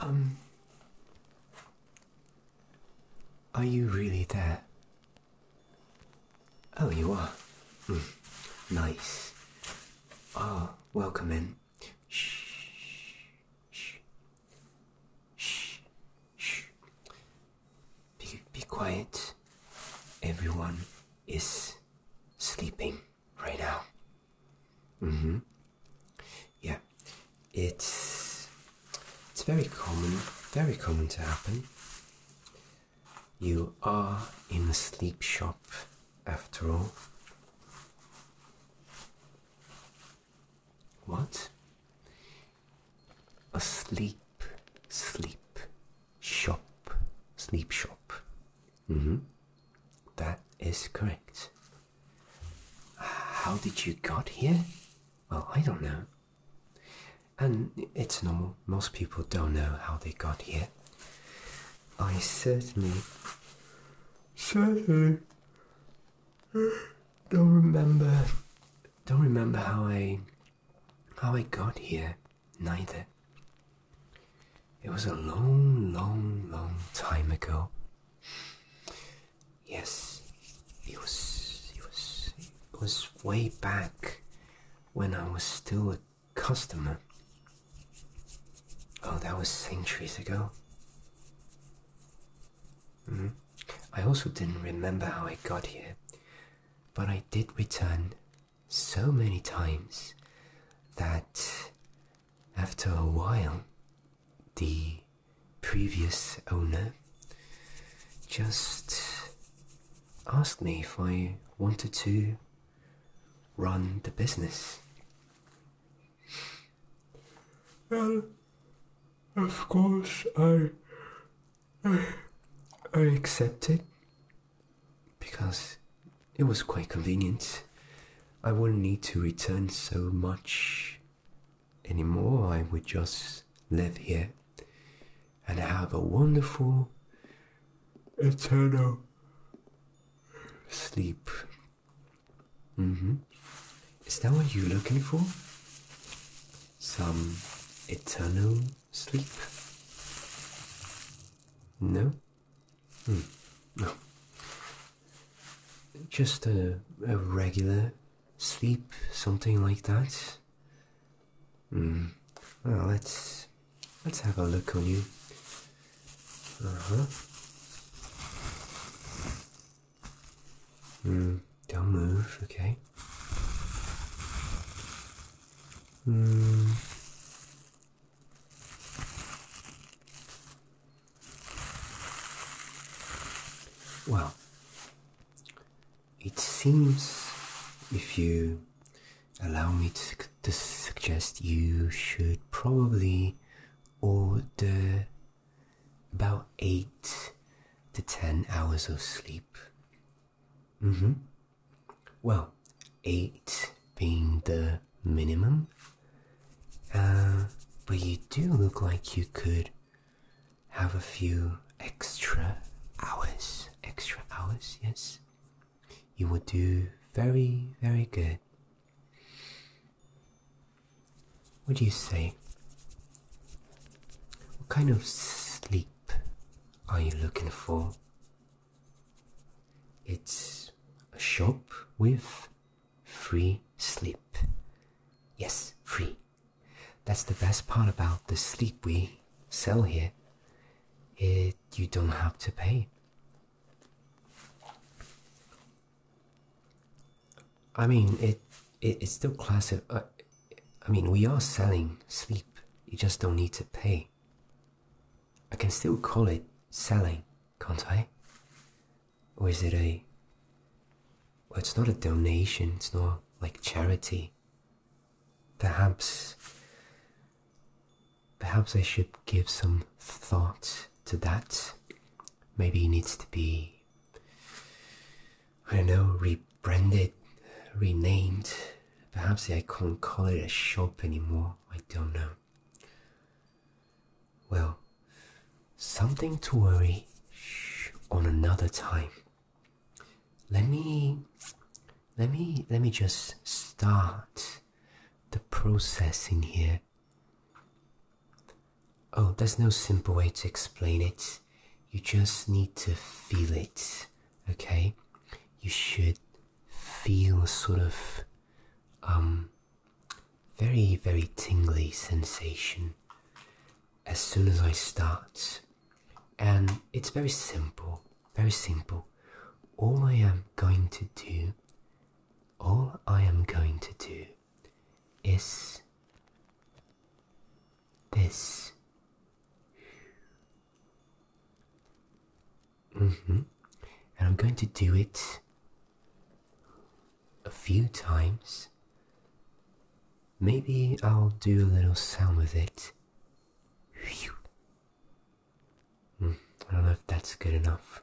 Um. Are you really there? Oh, you are. Hmm, nice. Ah, oh, welcome in. Shh. Shh. Shh, shh. Be, quiet. Everyone is sleeping right now. Mm-hmm. Yeah, it's it's very common, very common to happen. You are in a sleep shop, after all. What? A sleep, shop, sleep shop. -hmm. That is correct. How did you got here? Well, I don't know. And it's normal. Most people don't know how they got here. I certainly, certainly don't remember don't remember how I how I got here neither. It was a long, long, long time ago. Yes, it was it was it was way back when I was still a customer. Oh, that was centuries ago. Mm-hmm. I also didn't remember how I got here, but I did return so many times that after a while the previous owner just asked me if I wanted to run the business. Well, of course, I I accepted because it was quite convenient. I wouldn't need to return so much anymore. I would just live here and have a wonderful eternal sleep. Mm-hmm. Is that what you're looking for? some eternal sleep? No? Mm, no. Just a, regular sleep, something like that? Hmm. Well, let's, let's have a look on you. Uh huh. Mm, don't move, okay? Mm. Well, it seems if you allow me to suggest you should probably order about eight to ten hours of sleep. Mm-hmm. Well, eight being the minimum. Uh, but you do look like you could have a few extra hours. Extra hours, yes. You would do very, very good. What do you say? What kind of sleep are you looking for? It's a shop with free sleep. Yes, free. That's the best part about the sleep we sell here. It you don't have to pay. I mean, it, it's still classic. I, I mean, we are selling sleep. You just don't need to pay. I can still call it selling, can't I? Or is it a. Well, it's not a donation, it's not like charity. Perhaps. Perhaps I should give some thought to that. Maybe it needs to be I don't know, rebranded, renamed. Perhaps I can't call it a shop anymore. I don't know. Well, something to worry on another time. Let me, let me, let me just start the process in here. Oh, there's no simple way to explain it. You just need to feel it, okay? You should feel sort of um very very tingly sensation as soon as I start. And it's very simple, very simple. All I am going to do, all I am going to do is this. -hmm. And I'm going to do it a few times. Maybe I'll do a little sound with it. Mm, I don't know if that's good enough.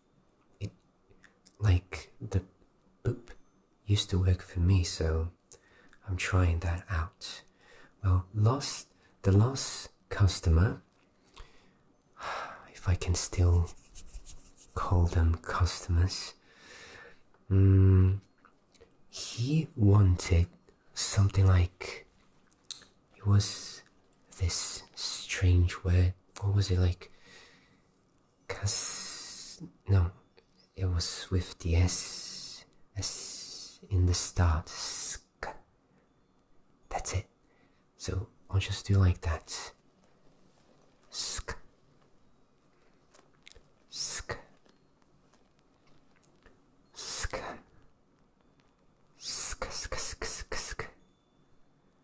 it like the boop used to work for me, so I'm trying that out. Well, lost the lost customer, if I can still call them customers, um, he wanted something like it was this strange word. What was it like? Cause no, it was with the S, S in the start. Sk. That's it. So I'll just do like that. Sk. Sk. Sk. Sk. Sk. Sk. Sk. Sk.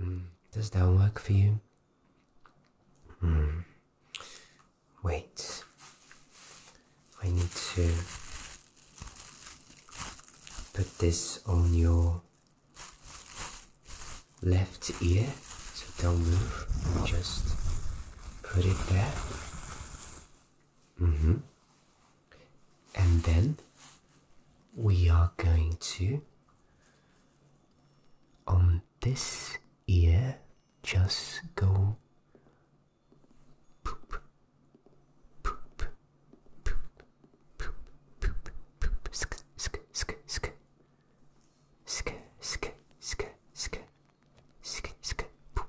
Hmm. does that work for you? Mm. Wait. I need to put this on your left ear, so don't move. Just put it there. Mm-hmm. And then we are going to, on this ear, just go poop, poop, poop, poop, poop, poop, sk, sk, sk, sk, sk, sk, sk, sk, sk, poop,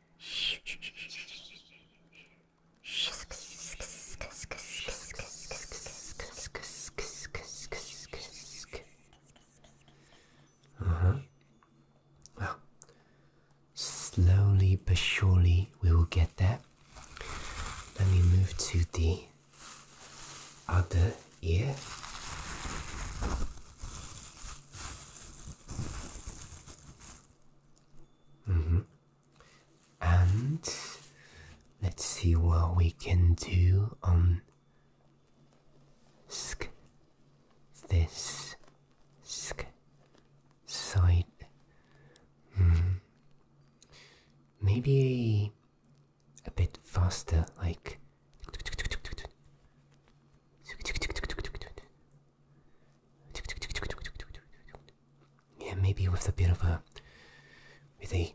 uh-huh. Well, slowly but surely we will get there. Let me move to the other ear. Mm -hmm. And let's see what we can do on this sk side. Hmm. Maybe a bit faster, like. Yeah, maybe with a bit of a with a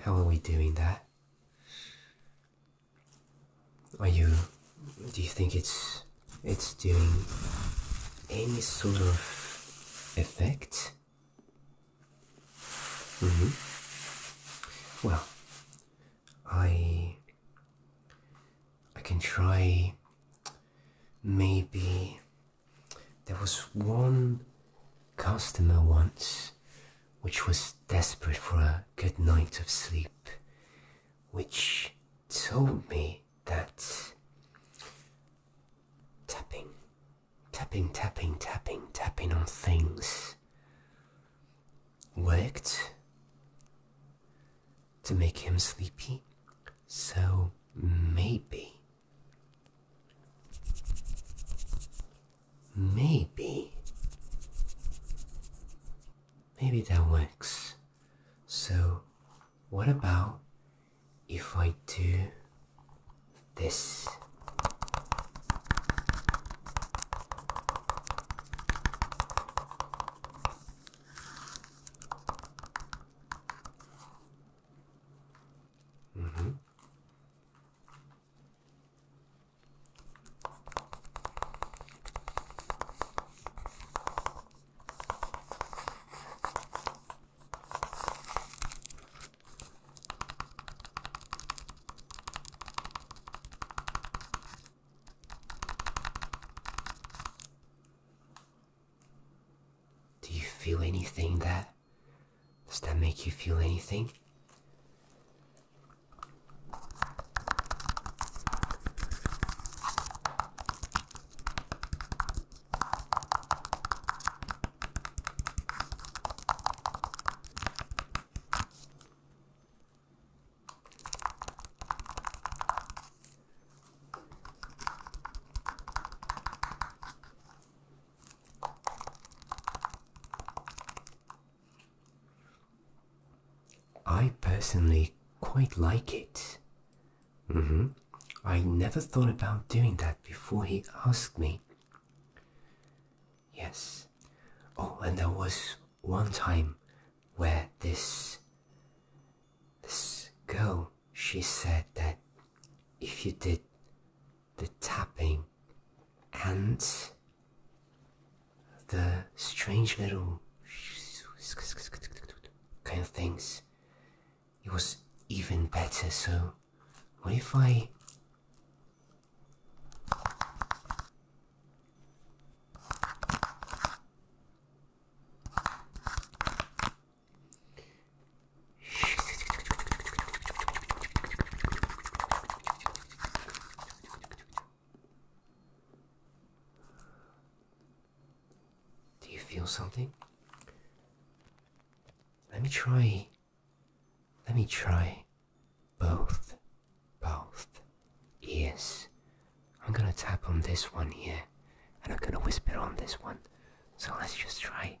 How are we doing that? Are you do you think it's it's doing any sort of effect? hmm Well, I I can try maybe there was one customer once which was desperate for a good night of sleep, which told me that tapping, tapping, tapping, tapping, tapping on things worked to make him sleepy. So maybe Maybe. Maybe that works. So, what about if I do this? Mm -hmm. Do you feel anything there? Does that make you feel anything? I personally quite like it. Mm-hmm. I never thought about doing that before he asked me. Yes. Oh, and there was one time where this this girl she said that if you did the tapping and the strange little kind of things. It was even better, so what if I do you feel something? Let me try. Let me try both. Both ears. I'm gonna tap on this one here and I'm gonna whisper on this one. So let's just try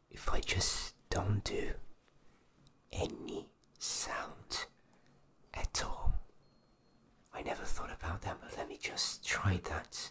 if I just don't do any sound at all. I never thought about that, but let me just try that.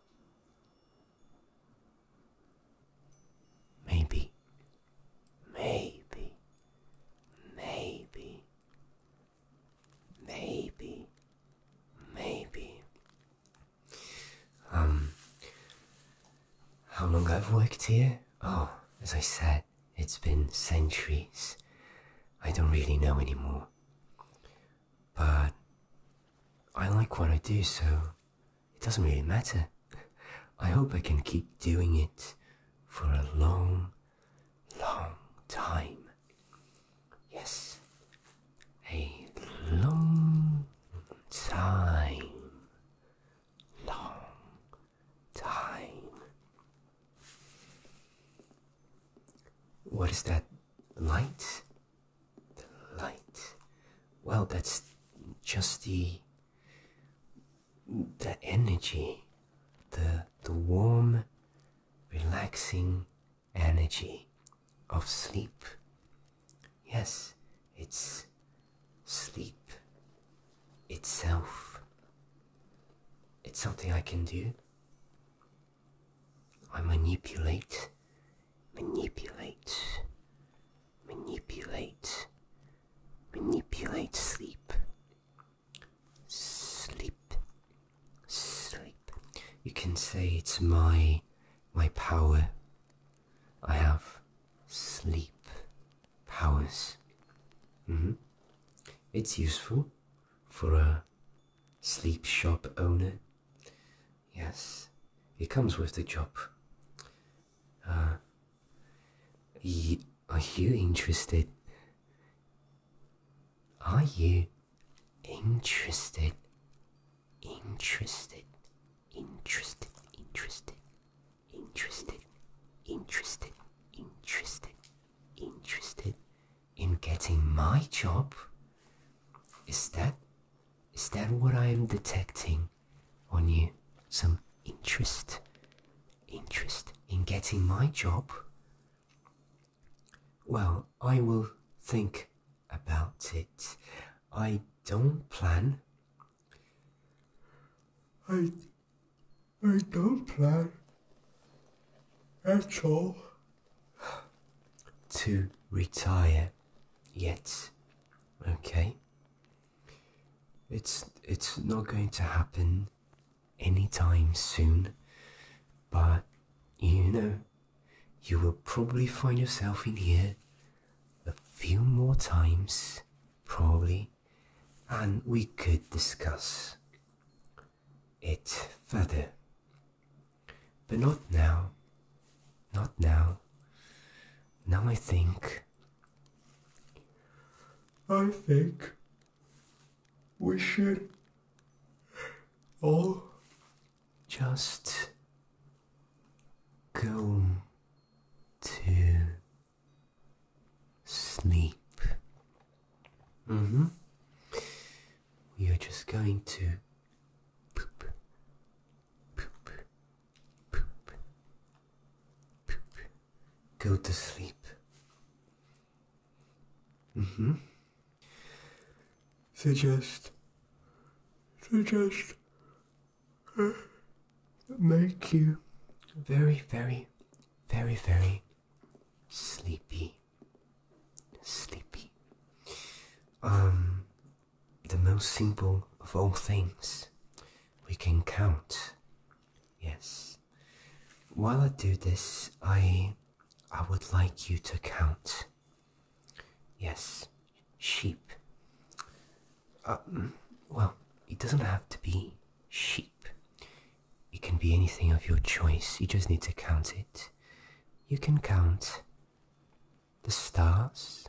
Maybe, maybe, maybe, maybe, maybe. Um, how long I've worked here? Oh, as I said, it's been centuries. I don't really know anymore. But I like what I do, so it doesn't really matter. I hope I can keep doing it for a long, long time. Yes, a long time. Long time. What is that light? The light. Well, that's just the the energy, the the warm, relaxing energy of sleep. Yes, it's sleep itself. It's something I can do. I manipulate, manipulate, manipulate, manipulate sleep. Sleep, sleep. You can say it's my, my power. I have sleep powers. Mm -hmm. It's useful for a Sleep shop owner? Yes, it comes with the job. Uh, are you interested? Are you interested? Interested, interested, interested, interested, interested, interested, interested, in getting my job? Is that is that what I am detecting on you? Some interest interest in getting my job? Well, I will think about it. I don't plan. I I don't plan. That's all to retire yet. Okay? It's it's not going to happen anytime soon, but you know, you will probably find yourself in here a few more times, probably, and we could discuss it further. But not now. Not now. Now I think. I think we should all just go to sleep. Mm hmm. We are just going to poop, poop, poop, poop. Go to sleep. Mm-hmm. Suggest, suggest, uh, make you very, very, very, very sleepy sleepy. Um, the most simple of all things. We can count. Yes. While I do this, I I would like you to count. Yes, sheep. Um, well, it doesn't have to be sheep. It can be anything of your choice. You just need to count it you can count the stars.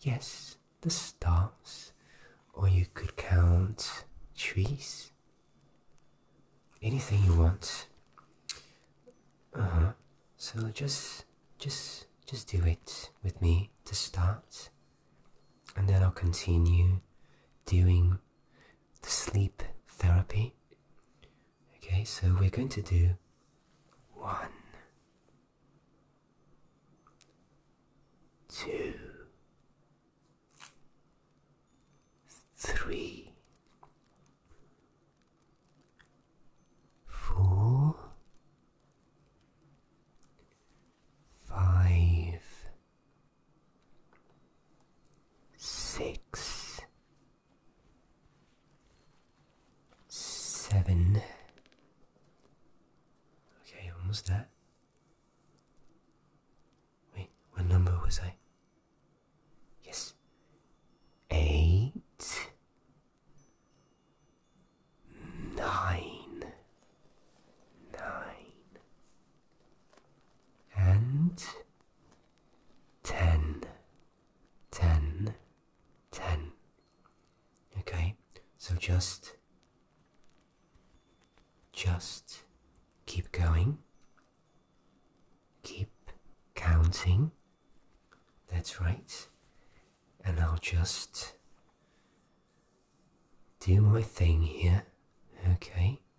Yes, the stars. Or you could count trees. Anything you want. Uh huh. So just, just, just do it with me to start, and then I'll continue doing the sleep therapy. Okay, so we're going to do one, two, three, four, five, six. Seven. Okay, almost that. Wait, what number was I? Yes. Eight. Nine. And ten, ten, ten. Okay, so just, just keep going, keep counting. That's right, and I'll just do my thing here. Okay.